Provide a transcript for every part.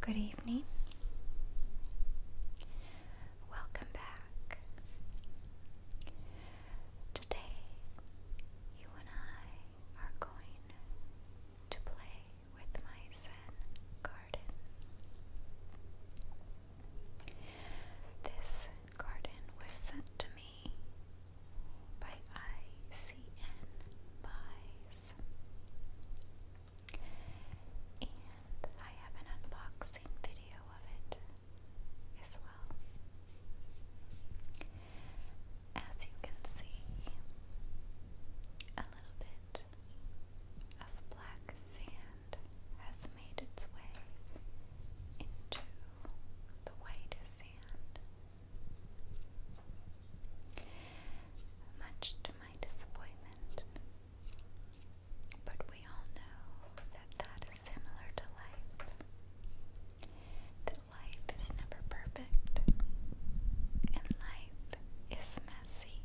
Good evening. Welcome back. Today, you and I are going to play with my Zen garden. This garden was sent to me by ICN by guys. And I have an unboxing video of it as well. As you can see, a little bit of black sand has made its way into the white sand much to my disappointment. But we all know that that is similar to life. That life is never perfect, and life is messy.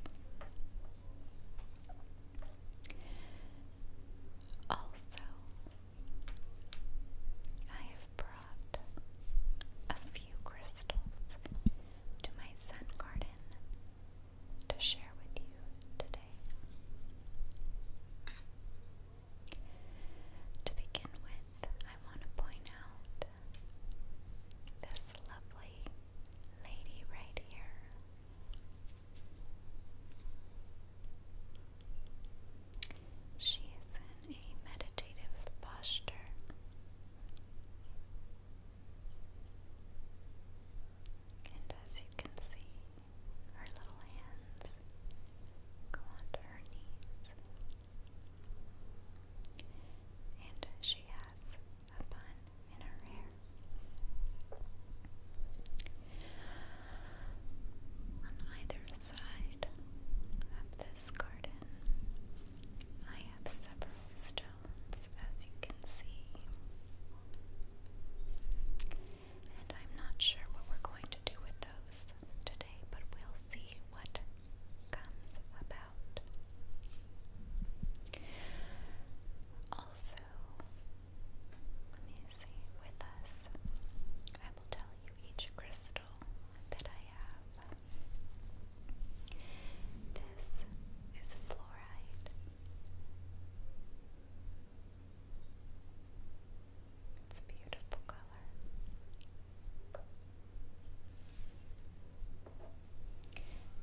Also, I brought a few crystals to my sun garden to share with you today. To begin with, I want to point out this lovely lady right here. She is in a meditative posture. And as you can see, her little hands go onto her knees. And she has a bun in her hair. On either side of this garden I have several stones, as you can see. And I'm not sure what we're going to do with those today, but we'll see what comes about. Also, let me see, with us, I will tell each crystal that I have. This is fluoride. It's beautiful color.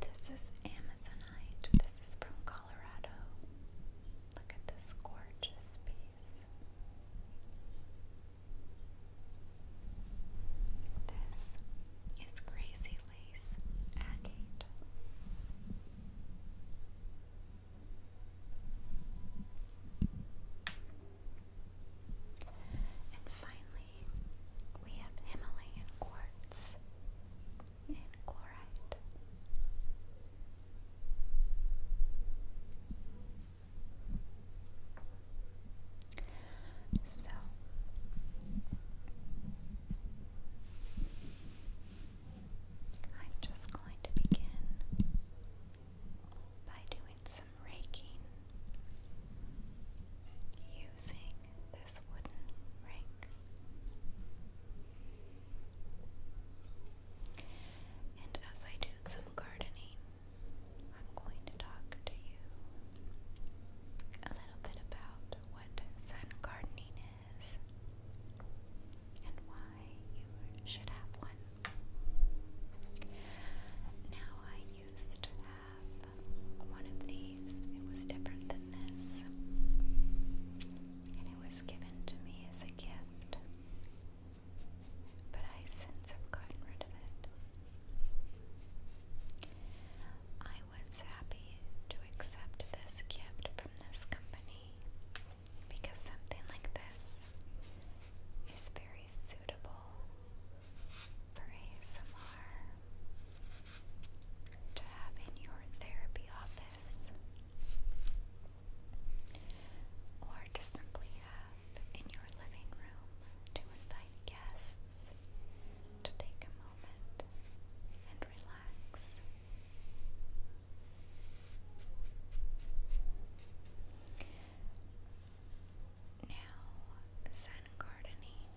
This is Amazonite. This is from Colorado. Look at this gorgeous piece. This is Crazy Lace Agate. And finally, we have Himalayan quartz and chlorite. So I'm just going to begin by doing some raking using this wooden rake. And as I do some gardening, I'm going to talk to you a little bit about what sun gardening is and why you should have one. Now, I used to have one of these, it was different than this, and it was given to me as a gift but I since have gotten rid of it. I was happy to accept this gift from this company because something like this is very suitable for ASMR to have in your therapy office or to simply have in your living room to invite guests to take a moment and relax. Now, Zen gardening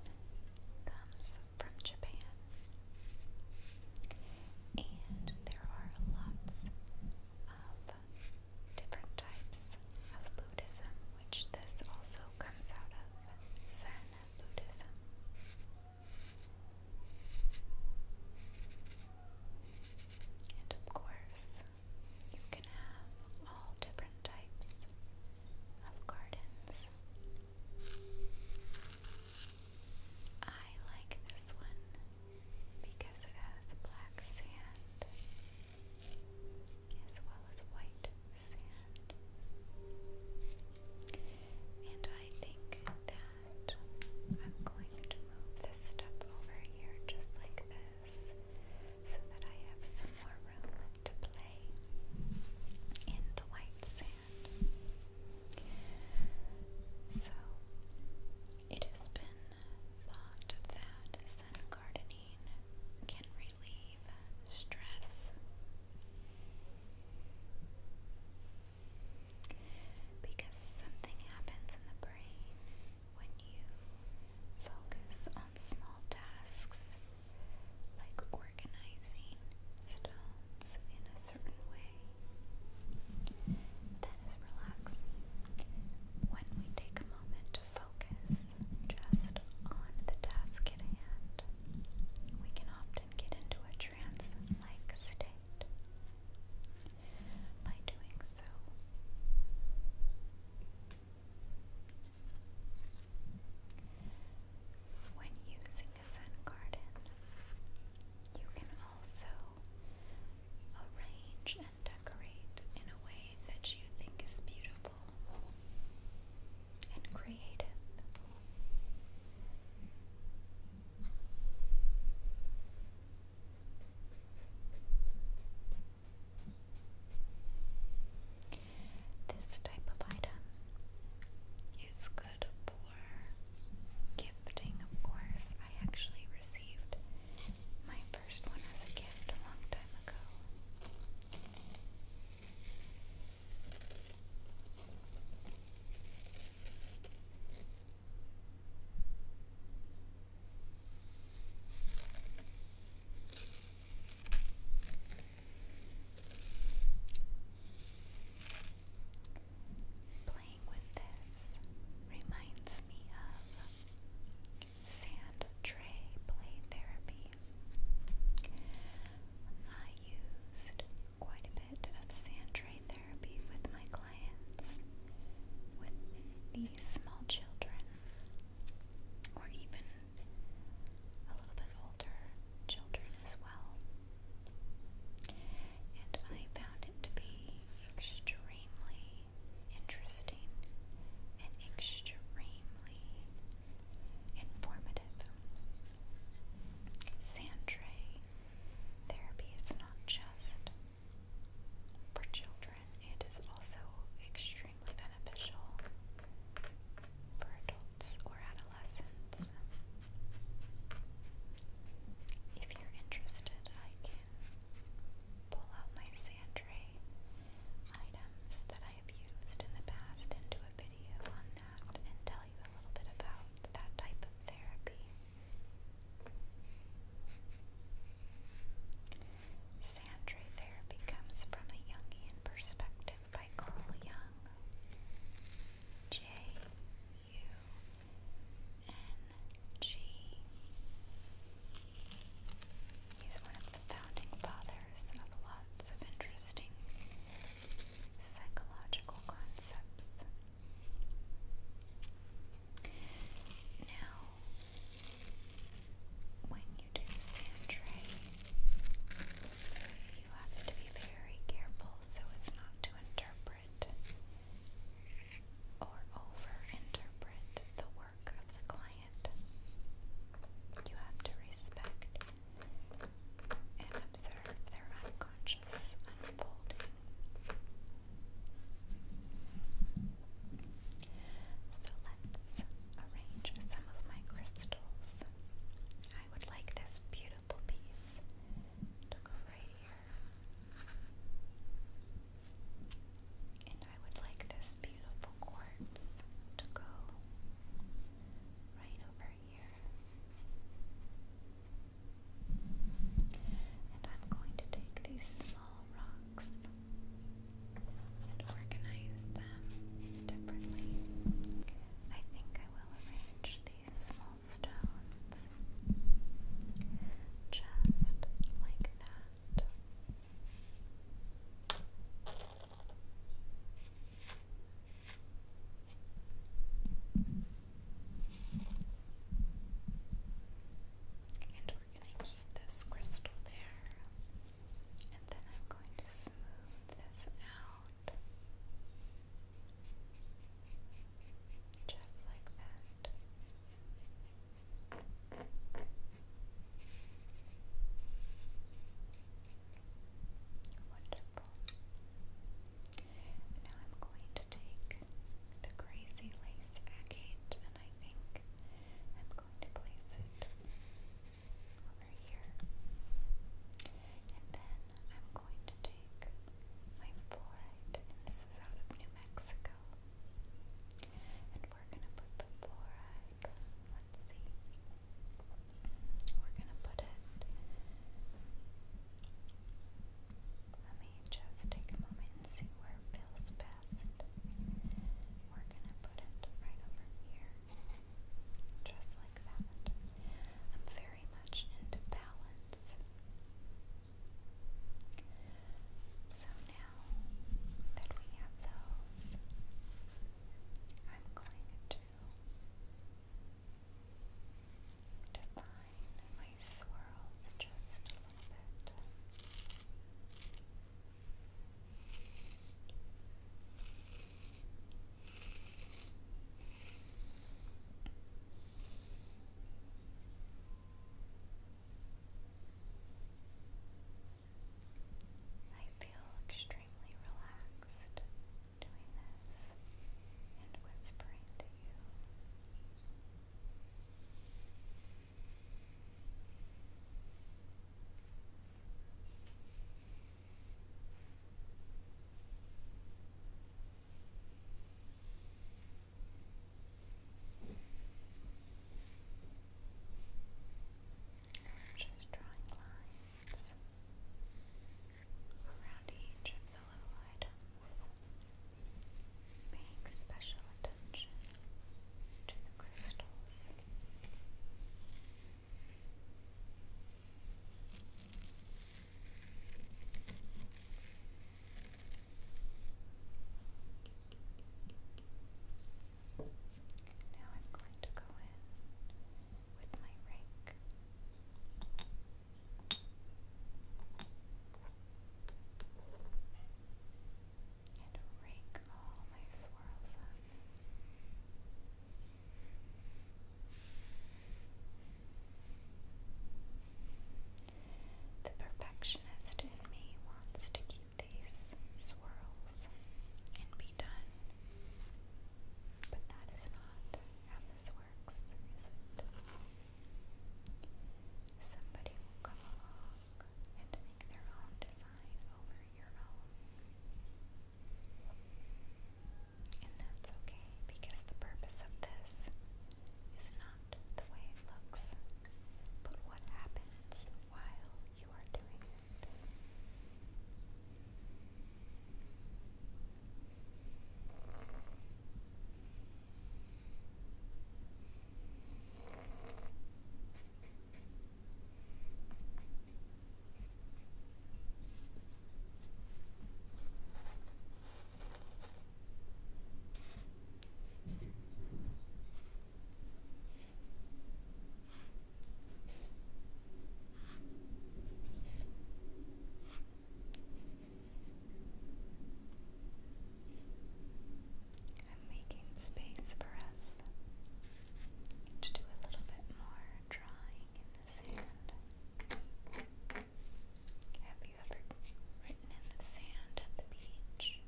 comes from Japan, and there are lots of different types of Buddhism, which this also comes out of Zen Buddhism. And of course, you can have all different types of gardens. I like this one because it has black sand as well as white sand. And I think that I'm going to move this stuff over here just like this so that I have some more room to play in the white sand. So it has been thought that gardening can relieve stress because something happens in the brain when you focus on small tasks like organizing stones in a certain way is relaxing when we take a moment to focus just on the task at hand. We can often get into a trance like state. By doing so, when using a sun garden, you can also Arrange and decorate in a way that you think is beautiful and create. This type of item is good for gifting, of course. I actually received my first one as a gift a long time ago playing with this reminds me of sand tray play therapy. I used quite a bit of sand tray therapy with my clients, with these small children, or even a little bit older children as well. And I found it to be extremely interesting and extremely informative. Sandray therapy is not just for children, it is also extremely beneficial for adults or adolescents. If you're interested, I can pull out my Sandray items that I have used in the past and do a video on that and tell you a little bit about that type of therapy. Sandray therapy comes from a Jungian perspective by Carl Jung. J. G. He's one of the founding fathers of lots of interesting psychological concepts. Now, when you do sand you have to be very careful so as not to interpret interpret or over the work of the client. You have to respect and observe their unconscious unfolding. So let's arrange some of my crystals. I would like this beautiful beautiful piece to go right here. And I would like this beautiful quartz to go right over here. And I'm going to take these small rocks and organize them differently. I think I will arrange these small milestones, just like that. And we're going to keep this crystal there. And then I'm going to smooth this out. Just like that. Wonderful. Now I'm going to take the crazy lace agate and I think I'm going to place it over here. And then I'm going to take my fluoride, and this is out of New Mexico. And we're going to put the fluoride, let's see, we're going to put it, let me just take a moment and see where feels best. We're going to put it right over here. Just like that. I'm very much into balance. So now that we have those, I'm going to define my swirls just a little bit. I feel extremely relaxed doing this and whispering to you. I'm just drawing lines around each of the little items. Paying special attention to the crystals. Now I'm going to go in with my rake. And rake all my swirls up. The perfectionist in me wants to keep these swirls and be done, but that is not how this works, is it? Somebody will come along and make their own design over your own. And that's okay because the purpose of this is not the way it looks, but what happens while you are doing it. I'm making space for us to do a little bit more are in the sand. Have you ever written in the sand at the beach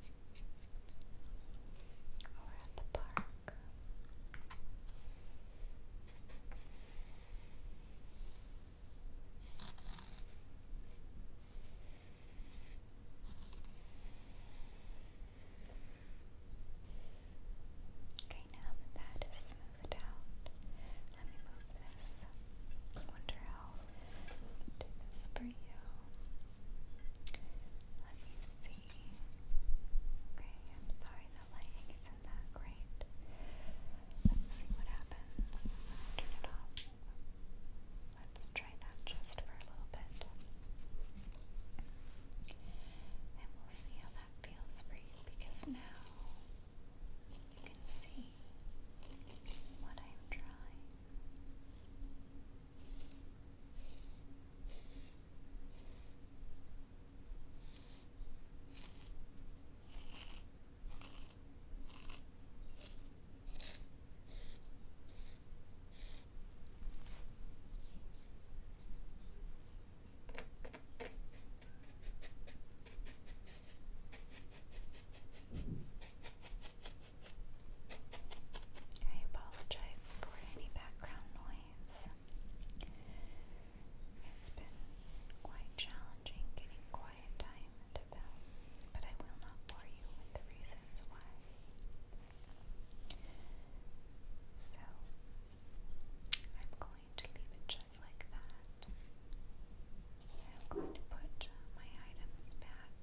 or at the park? Okay, now that that is smoothed out, let me move this. I wonder how to do this for you. Let me see. Okay, I'm sorry the lighting isn't that great. Let's see what happens. Turn it off. Let's try that just for a little bit. And we'll see how that feels for you because now you can see what I'm trying. I apologize for any background noise. It's been quite challenging getting quiet time but I will not bore you with the reasons why. So I'm going to leave it just like that. I'm going to put my items back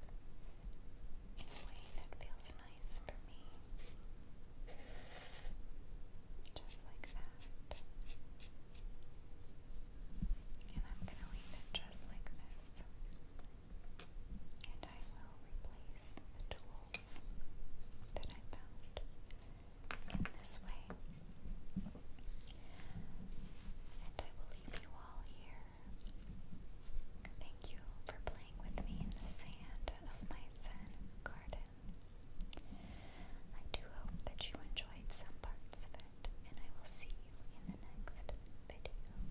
in a way that feels nice for me. Just like that. And I'm going to leave it just like this and I will replace the tools that I found in this way. And I will leave you all here. Thank you for playing with me in the sand of my zen garden. I do hope that you enjoyed some parts of it, and I will see you in the next video.